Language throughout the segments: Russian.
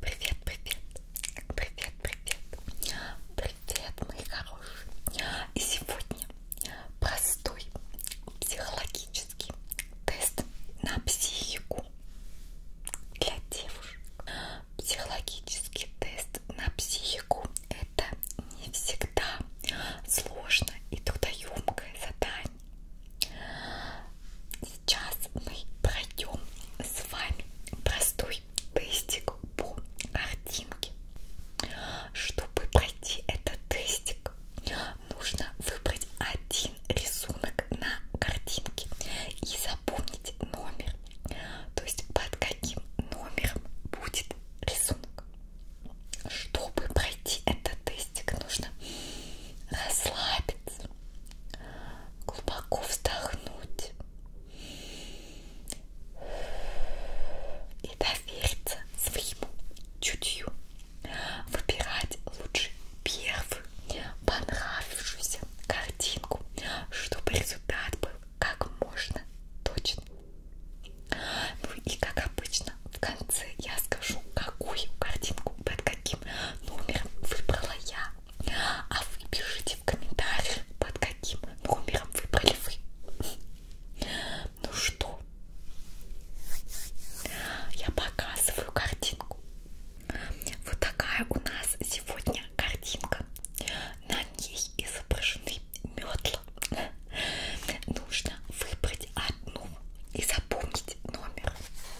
Привет, привет, привет, привет, привет, мои хорошие. И сегодня простой психологический тест на психику для девушек. Психологический тест на психику это не всегда сложно и трудоемкое задание сейчас мы пройдем с вами простой тестик по картинке. Чтобы пройти этот тестик, нужно выбрать один рисунок на картинке и запомнить номер, то есть под каким номером будет рисунок. Чтобы пройти этот тестик, нужно расслабиться, глубоко вздохнуть и довериться своему чутью, выбирать лучше первую понравившуюся картинку, чтобы результат был как можно точно. Ну и как обычно в конце я скажу, какую картинку под каким номером выбрала я. А вы пишите в комментариях, под каким номером выбрали вы. Ну что, я показываю картинку. Вот такая у нас сегодня картинка. На ней изображены метла. Нужно выбрать одну и запомнить номер.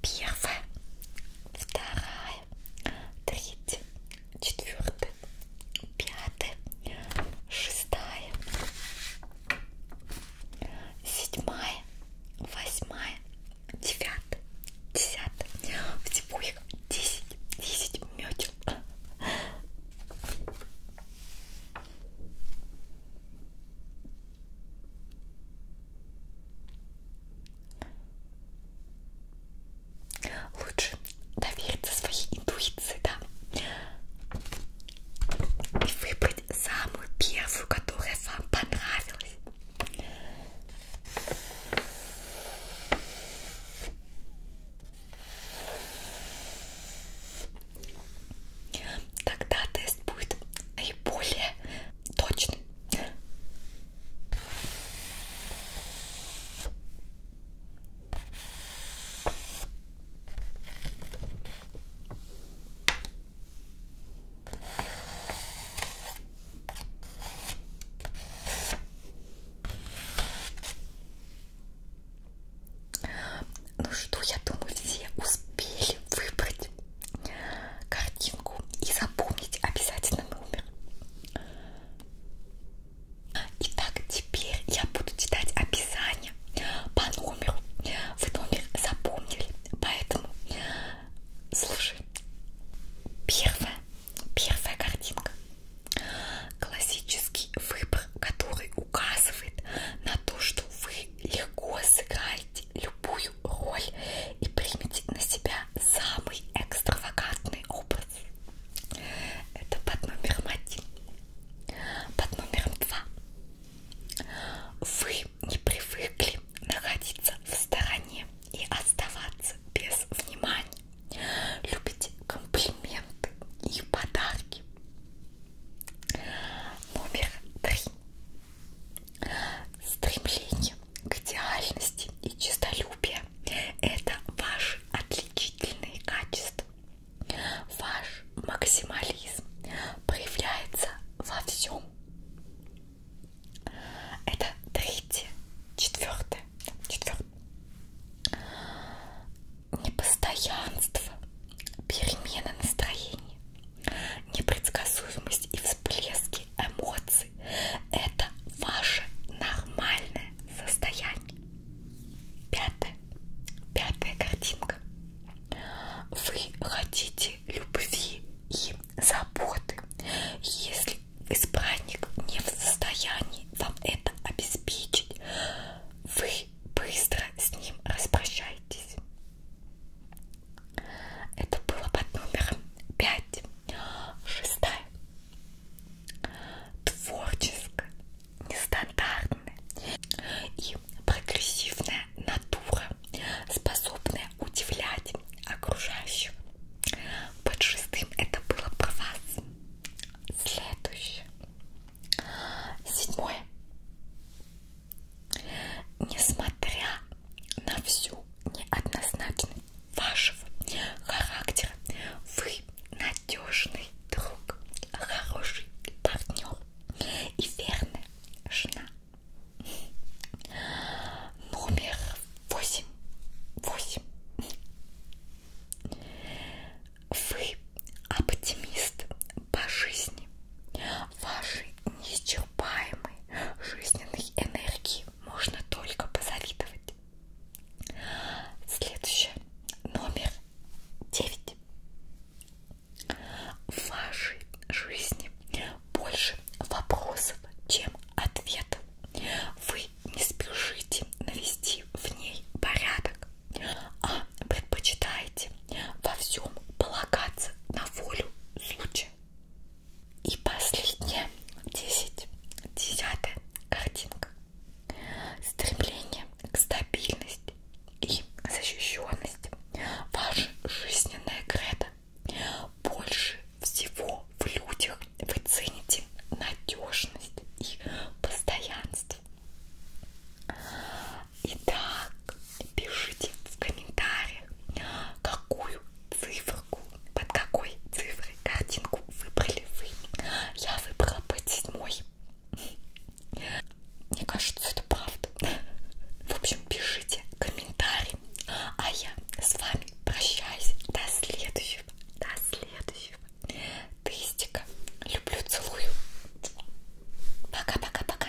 Первая, вторая, третья, четвертая, пятая, шестая, седьмая, восьмая, девятая, десятая. Всего их десять, десять мётел. Лучше довериться своей интуиции, да? И выбрать самую первую, которая вам понравилась. Тогда тест будет наиболее точным. Ну что, я думаю, все успели выбрать картинку и запомнить обязательно номер. А, итак, теперь я буду читать описание по номеру. Вы номер запомнили, поэтому слушай. Первая, первая картинка. Классический выбор, который указывает на то, что вы легко сыграете играйте любую роль и примите на себя самый экстравагантный образ. Это под номером один. Под номером два. Вы не привыкли находиться в стороне и оставаться без внимания. Любите комплименты и подарки. Номер три. Стремление к идеальности и честолюбие – это ваши отличительные качества. Ваш максимализм проявляется во всем. Это третье, четвертое, четвертое. Непостоянство, перемена настроения, непредсказуемость и всплески эмоций – это ваше нормальное состояние. Пятая, пятая картинка. Вы хотите любви и заботы. Если избранник не в состоянии вам это обеспечить, вы быстро с ним распрощаетесь. Это было под номером 5. Шестая. Творческая, нестандартная и прогрессивная натура, способная удивлять окружающих. Под шестым это было про вас. Следующее. Седьмое. Несмотря на всю неоднозначность вашего характера, вы надежный друг, хороший партнер и верная жена. Номер восемь. Восемь. Вы оптимист по жизни. Ваши неисчерпаемые жизненной энергии можно только позавидовать. Следующее. Номер 9. В вашей жизни больше вопросов, чем ответов. Вы не спешите навести в ней порядок, а предпочитаете во всем полагаться на волю случая вещи. И последняя, 10, 10 картинка. Стремление к стабильности и защищенности. Ваша жизненная кредо. Больше всего в людях вы цените надежность и постоянство. Итак, пишите в комментариях, какую цифру, под какой цифрой картинку выбрали вы. Я выбрала под седьмой. Мне кажется, это правда. В общем, пишите комментарии. А я с вами прощаюсь. До следующего. До следующего. Тестика. Люблю, целую. Пока-пока-пока.